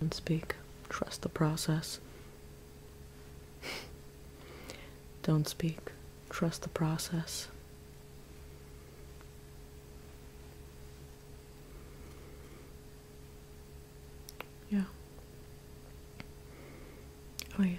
Don't speak. Trust the process. Don't speak. Trust the process. Yeah. Oh, yeah.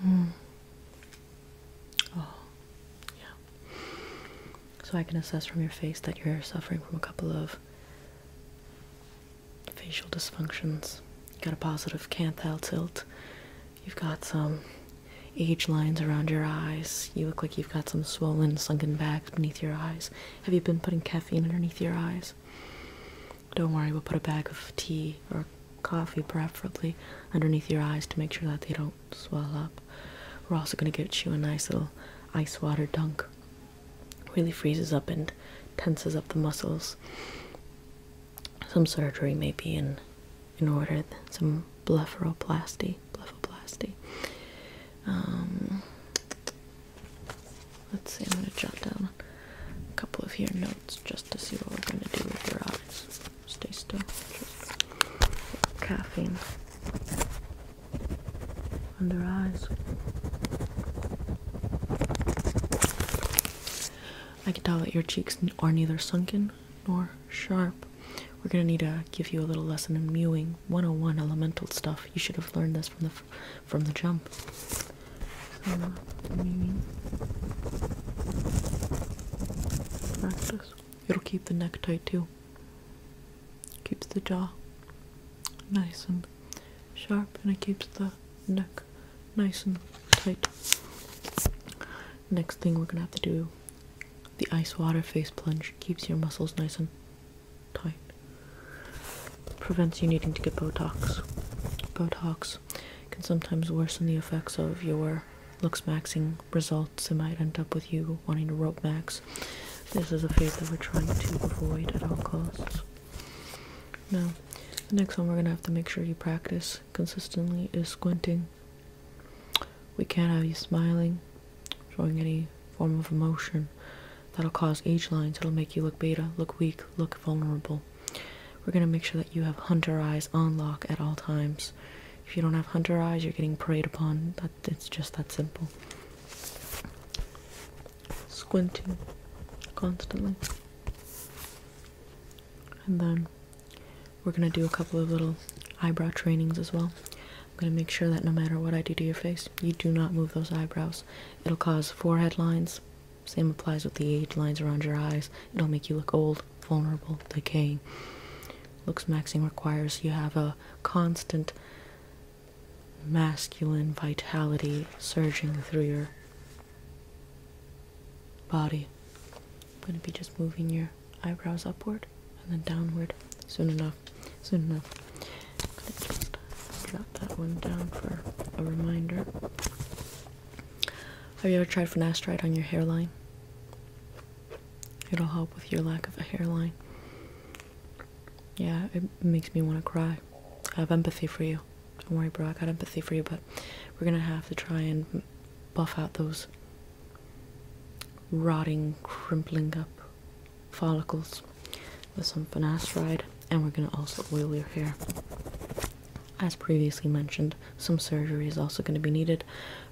Hmm. Oh, yeah. So I can assess from your face that you're suffering from a couple of facial dysfunctions. You got a positive canthal tilt. You've got some age lines around your eyes. You look like you've got some swollen, sunken bags beneath your eyes. Have you been putting caffeine underneath your eyes? Don't worry, we'll put a bag of tea or coffee, preferably underneath your eyes to make sure that they don't swell up. We're also going to give you a nice little ice water dunk. Really freezes up and tenses up the muscles. Some surgery may be in, in order, some blepharoplasty. Blepharoplasty. Um, let's see, I'm going to jot down a couple of your notes just to see what we're gonna do with your eyes. Stay still. Just caffeine on their eyes. I can tell that your cheeks are neither sunken nor sharp. We're gonna need to give you a little lesson in mewing 101 elemental stuff. You should have learned this from the from the jump. Mm-hmm. It'll keep the neck tight too. Keeps the jaw nice and sharp, and it keeps the neck nice and tight. Next thing we're gonna have to do the ice water face plunge. Keeps your muscles nice and tight. Prevents you needing to get Botox. Botox effects can sometimes worsen the effects of your looks maxing results. It might end up with you wanting to rope max. This is a phase that we're trying to avoid at all costs. Now, the next one we're going to have to make sure you practice consistently is squinting. We can't have you smiling, showing any form of emotion. That'll cause age lines. It'll make you look beta, look weak, look vulnerable. We're going to make sure that you have hunter eyes on lock at all times. If you don't have hunter eyes, you're getting preyed upon. That it's just that simple. Squinting constantly. And then we're going to do a couple of little eyebrow trainings as well. I'm going to make sure that no matter what I do to your face, you do not move those eyebrows. It'll cause forehead lines, same applies with the age lines around your eyes. It'll make you look old, vulnerable, decaying. Looks maxing requires you have a constant masculine vitality surging through your body. I'm going to be just moving your eyebrows upward and then downward soon enough. Soon enough. I'm going to just jot that one down for a reminder. Have you ever tried finasteride on your hairline? It'll help with your lack of a hairline. Yeah, it makes me want to cry. I have empathy for you. Don't worry, bro. I got empathy for you, but we're gonna have to try and buff out those rotting, crimping up follicles with some finasteride, and we're gonna also oil your hair as previously mentioned, some surgery is also going to be needed.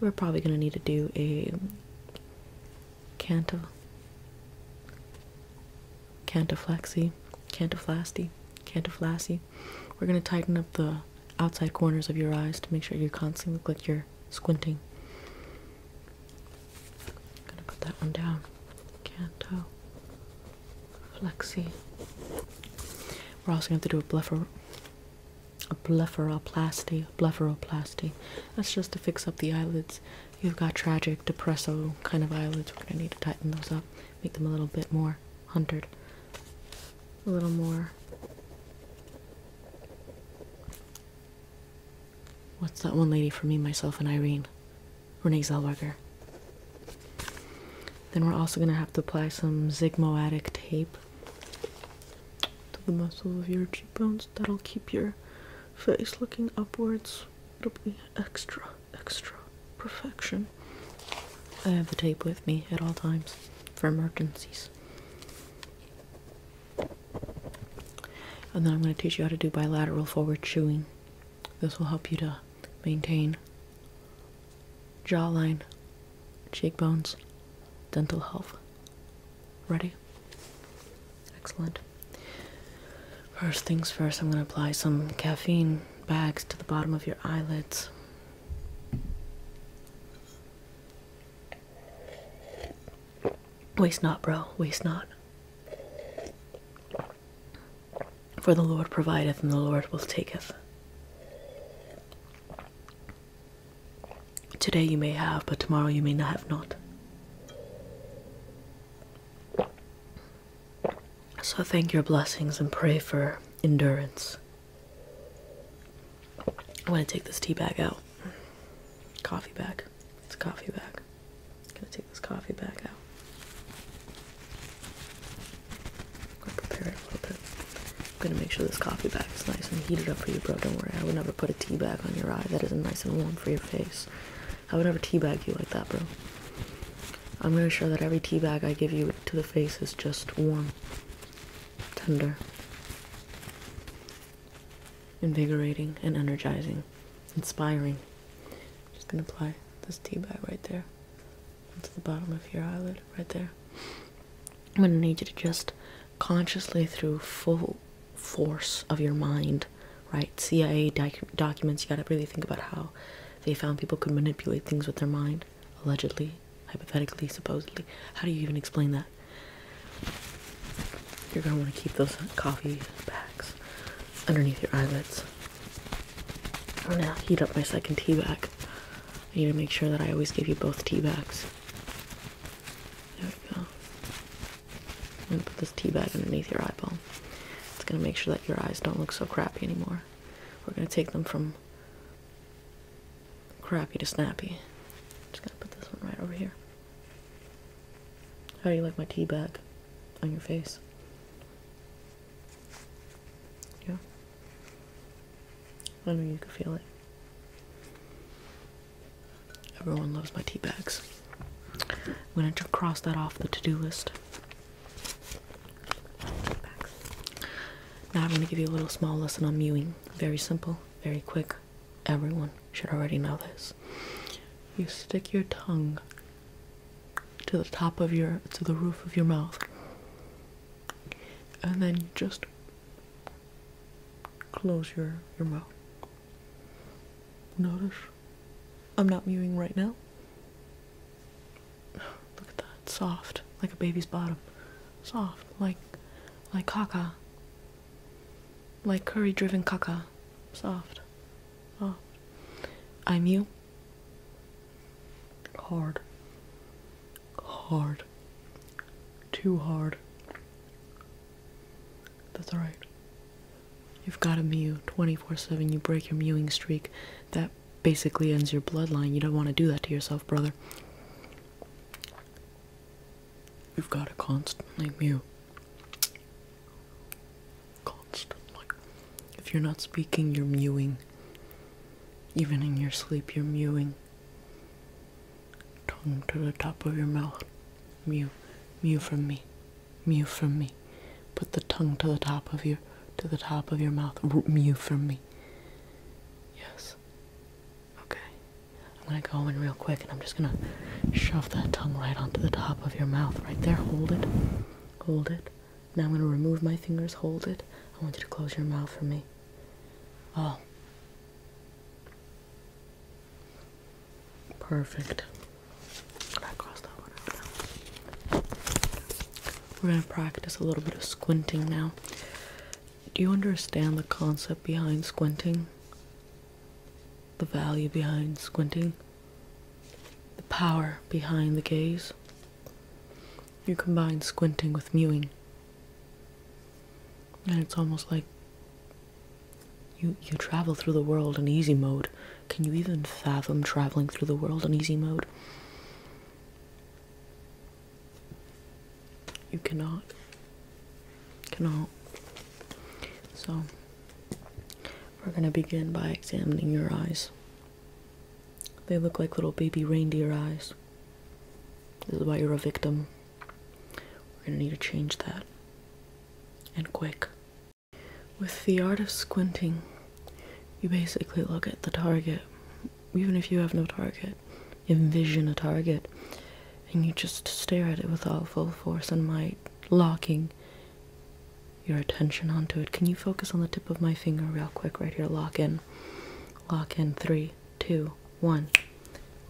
We're probably going to need to do a canto, cantaflexy, cantaflasty, cantaflassy. We're going to tighten up the outside corners of your eyes to make sure you are constantly like you're squinting. going to put that one down. Canto, Flexi. We're also going to do a bluffer, a blepharoplasty, blepharoplasty. That's just to fix up the eyelids. You've got tragic, depresso kind of eyelids. We're going to need to tighten those up, make them a little bit more hunted, a little more. What's that one lady for me, myself, and Irene? Renee Zellweger. Then we're also going to have to apply some zigmoatic tape to the muscle of your cheekbones. That'll keep your face looking upwards. It'll be extra, extra perfection. I have the tape with me at all times for emergencies. And then I'm going to teach you how to do bilateral forward chewing. This will help you to maintain jawline, cheekbones, dental health. Ready? Excellent. First things first, I'm going to apply some caffeine bags to the bottom of your eyelids. Waste not, bro. Waste not. For the Lord provideth, and the Lord will taketh. Today you may have, but tomorrow you may not have not. So thank your blessings and pray for endurance. I'm gonna take this tea bag out. Coffee bag. It's a coffee bag. I'm gonna take this coffee bag out. I'll prepare it a little bit. I'm gonna make sure this coffee bag is nice and heated up for you, bro. Don't worry, I would never put a tea bag on your eye. That isn't nice and warm for your face. I would never tea bag you like that, bro. I'm gonna show that every tea bag I give you to the face is just warm, tender, invigorating, and energizing, inspiring. just gonna apply this tea bag right there to the bottom of your eyelid right there. I'm going to need you to just consciously, through full force of your mind, right? CIA documents, you got to really think about how they found people could manipulate things with their mind, allegedly, hypothetically, supposedly. How do you even explain that? You're going to want to keep those coffee bags underneath your eyelids I'm oh, gonna heat up my second tea bag. I need to make sure that I always give you both tea bags. There we go. I'm gonna put this tea bag underneath your eyeball. It's gonna make sure that your eyes don't look so crappy anymore. We're gonna take them from crappy to snappy. Just gonna put this one right over here. How do you like my tea bag on your face? Yeah. I know you can feel it. Everyone loves my tea bags. I'm gonna cross that off the to-do list. Now I'm gonna give you a little small lesson on mewing. Very simple, very quick. Everyone should already know this. You stick your tongue to the top of your to the roof of your mouth and then just close your your mouth notice i'm not mewing right now look at that soft like a baby's bottom soft like like caca like curry driven caca soft soft i mew Hard. Hard. Too hard. That's alright. You've got to Mew 24 7. You break your mewing streak. That basically ends your bloodline. You don't want to do that to yourself, brother. You've got to constantly mew. Constantly. If you're not speaking, you're mewing. Even in your sleep, you're mewing. Tongue to the top of your mouth. Mew. Mew from me. Mew from me. Put the tongue to the top of your to the top of your mouth. mew from me. Yes. Okay. I'm gonna go in real quick and I'm just gonna shove that tongue right onto the top of your mouth right there. Hold it. Hold it. Now I'm going to remove my fingers, hold it. I want you to close your mouth for me. Oh. Perfect. We're going to practice a little bit of squinting now. Do you understand the concept behind squinting? The value behind squinting? The power behind the gaze? You combine squinting with mewing. And it's almost like you you travel through the world in easy mode. Can you even fathom traveling through the world in easy mode? You cannot. Cannot. So we're going to begin by examining your eyes. They look like little baby reindeer eyes. This is why you're a victim. We're gonna need to change that. And quick. With the art of squinting, you basically look at the target, even if you have no target. Envision a target, and you just stare at it with all full force and might, locking your attention onto it. Can you focus on the tip of my finger real quick right here? Lock in in. Lock in three, two, one.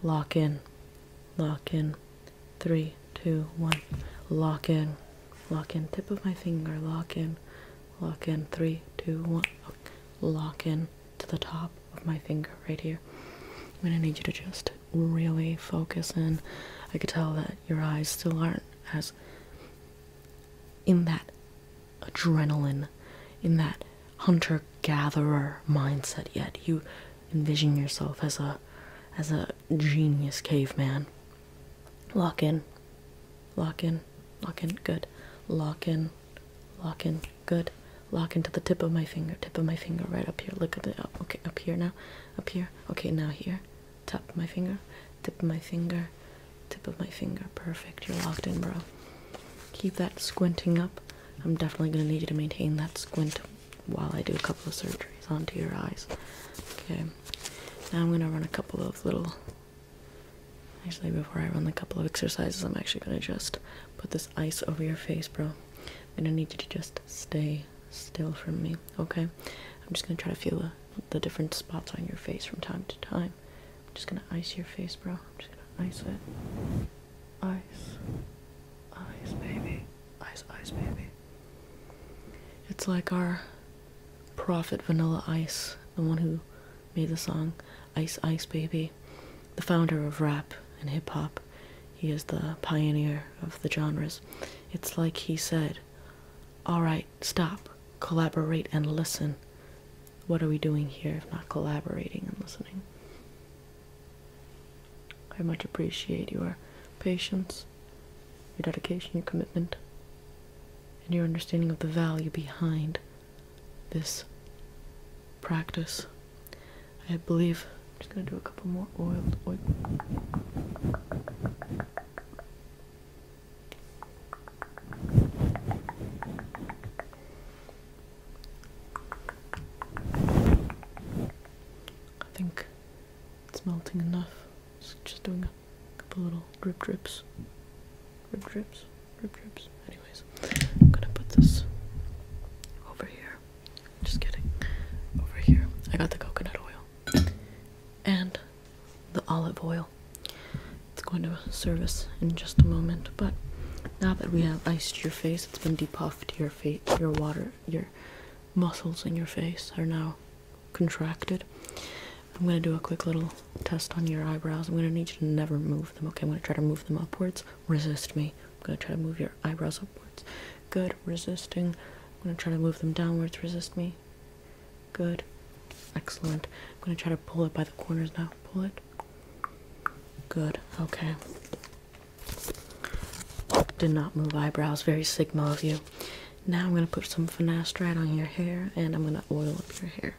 Lock in. Lock in. Three, two, one. Lock in. Lock in. Tip of my finger. Lock in. Lock in. Three, two, one. Okay. Lock in to the top of my finger right here. I'm gonna need you to just really focus in. I could tell that your eyes still aren't as in that adrenaline in that hunter gatherer mindset yet you envision yourself as a as a genius caveman lock in lock in lock in good lock in lock in good lock into the tip of my finger tip of my finger right up here look at it up okay up here now up here okay now here tap my finger Tip of my finger, tip of my finger. Perfect. You're locked in, bro. Keep that squinting up. I'm definitely gonna need you to maintain that squint while I do a couple of surgeries onto your eyes. Okay. Now I'm gonna run a couple of little. Actually, before I run the couple of exercises, I'm actually gonna just put this ice over your face, bro. I'm gonna need you to just stay still from me, okay? I'm just gonna try to feel a the different spots on your face from time to time. I'm just gonna ice your face, bro. I'm just gonna ice it. Ice. Ice, baby. Ice, ice, baby. It's like our prophet Vanilla Ice, the one who made the song Ice, Ice, Baby, the founder of rap and hip hop. He is the pioneer of the genres. It's like he said, Alright, stop, collaborate, and listen. What are we doing here if not collaborating and listening? I much appreciate your patience, your dedication, your commitment, and your understanding of the value behind this practice. I believe I'm just going to do a couple more oiled oil. I think it's melting enough. just doing a couple little drip drips. Drip drips. Drip drips. Anyways, I'm gonna put this over here. Just kidding. Over here. I got the coconut oil. And the olive oil. It's going to service in just a moment, but now that we have iced your face, it's been depuffed. Your feet, your water, your muscles in your face are now contracted. I'm going to do a quick little test on your eyebrows. I'm going to need you to never move them. Okay, I'm going to try to move them upwards. Resist me. I'm going to try to move your eyebrows upwards. Good, resisting. I'm going to try to move them downwards. Resist me. Good. Excellent. I'm going to try to pull it by the corners now. Pull it. Good. Okay. Did not move eyebrows. Very Sigma of you. Now I'm going to put some finasteride on your hair and I'm going to oil up your hair.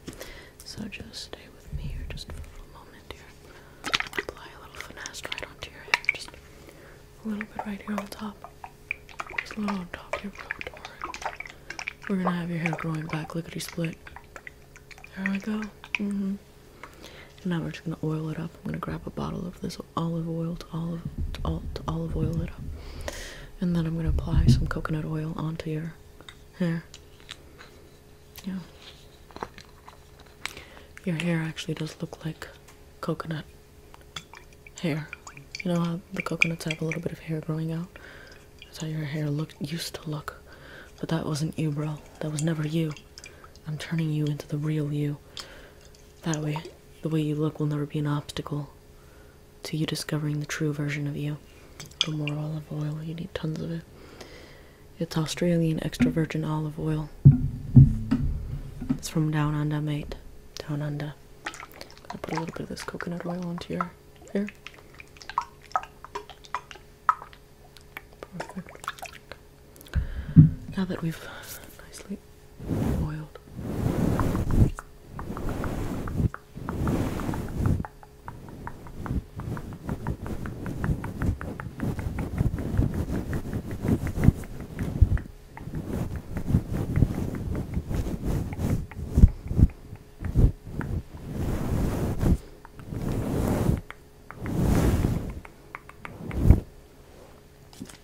So just stay with me here just for a little moment here. Apply a little finasteride onto your hair. Just a little bit right here on top. Just a little on top of your front we're gonna have your hair growing back, lickety split. There we go. And mm-hmm. now we're just gonna oil it up. I'm gonna grab a bottle of this olive oil to olive olive oil it up, and then I'm gonna apply some coconut oil onto your hair. Yeah. Your hair actually does look like coconut hair. You know how the coconuts have a little bit of hair growing out? That's how your hair looked used to look. But that wasn't you, bro. That was never you. I'm turning you into the real you. That way, the way you look will never be an obstacle to you discovering the true version of you. For more olive oil, you need tons of it. It's Australian extra virgin olive oil. It's from Down Under, mate. Down Under. I'm gonna put a little bit of this coconut oil onto your here. Perfect. Now that we've nicely boiled.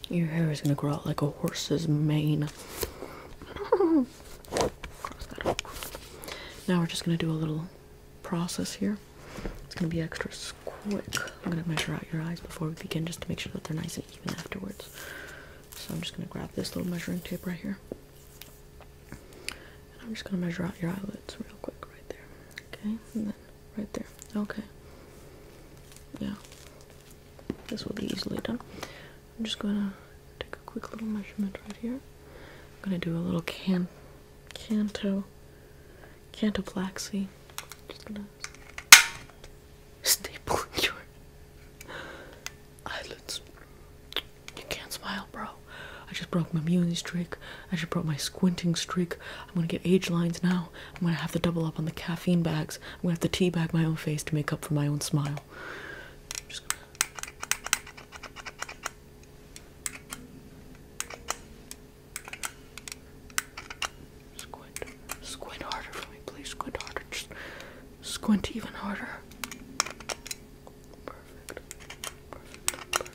Your hair is gonna grow out like a horse's mane. now we're just gonna do a little process here. It's gonna be extra quick. I'm gonna measure out your eyes before we begin just to make sure that they're nice and even afterwards. So I'm just gonna grab this little measuring tape right here. And I'm just gonna measure out your eyelids real quick right there. Okay, and then right there. Okay. Yeah. This will be easily done. I'm just gonna take a quick little measurement right here. I'm gonna do a little can canto cantoplaxy. Just gonna staple your eyelids. You can't smile, bro. I just broke my mewing streak. I just broke my squinting streak. I'm gonna get age lines now. I'm gonna have to double up on the caffeine bags. I'm gonna have to tea bag my own face to make up for my own smile. Squint. Squint harder for me, please. Squint harder. Just squint even harder. Perfect.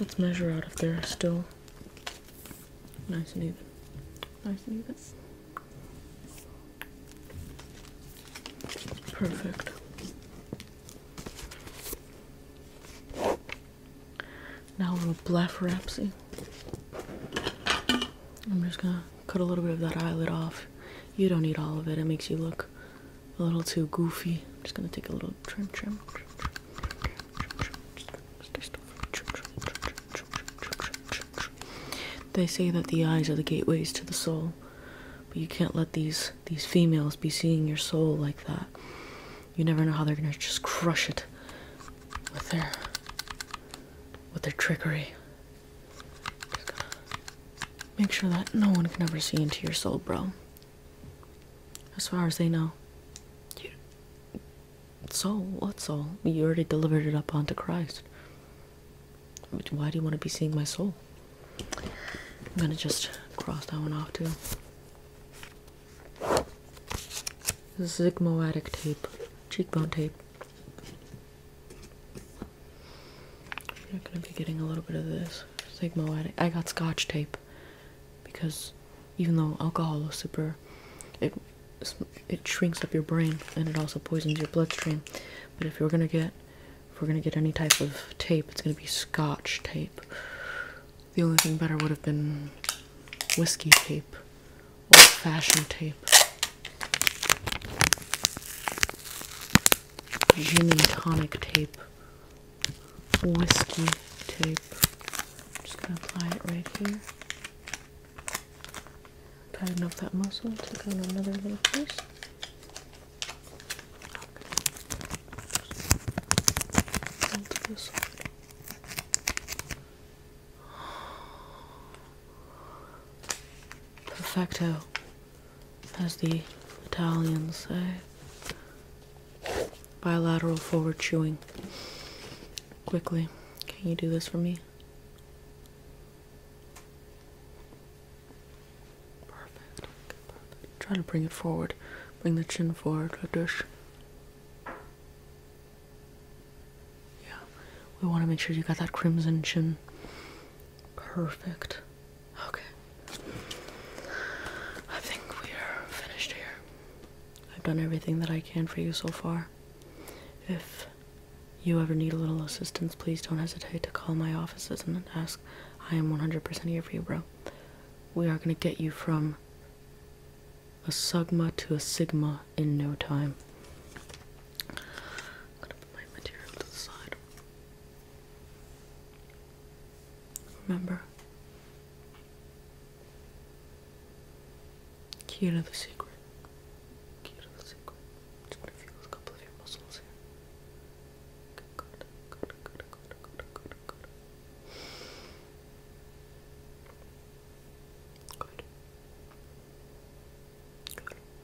Let's measure out if they're still nice and even. Nice and even. Perfect. Now we're with Blapharapsy. I'm just gonna cut a little bit of that eyelid off. You don't need all of it, it makes you look a little too goofy. I'm just gonna take a little trim, trim, trim, They say that the eyes are the gateways to the soul, but you can't let these these females be seeing your soul like that. You never know how they're gonna just crush it with their with their trickery make sure that no one can ever see into your soul, bro. As far as they know. Dude. Soul? What soul? You already delivered it up onto Christ. Why do you want to be seeing my soul? I'm gonna just cross that one off too. Zygmoatic tape, cheekbone tape. I'm gonna be getting a little bit of this sigmoid. I got Scotch tape because even though alcohol is super, it it shrinks up your brain and it also poisons your bloodstream. But if we are gonna get if we're gonna get any type of tape, it's gonna be Scotch tape. The only thing better would have been whiskey tape, old fashioned tape gin tonic tape, whiskey tape. just going to apply it right here. Tighten up that muscle, take on another little piece. Perfecto as the Italians say. Bilateral forward chewing. Quickly, can you do this for me? Perfect. Try to bring it forward. Bring the chin forward, a dish. Yeah, we want to make sure you got that crimson chin. Perfect. Okay. I think we're finished here. I've done everything that I can for you so far. If you ever need a little assistance, please don't hesitate to call my offices and ask. I am 100% here for you, We are going to get you from a sigma to a Sigma in no time gonna put my material to the side. Remember, key to the secret. Key to the secret. Just want to feel a couple of your muscles here. Good, good, good, good, good, good, good. Good. Good.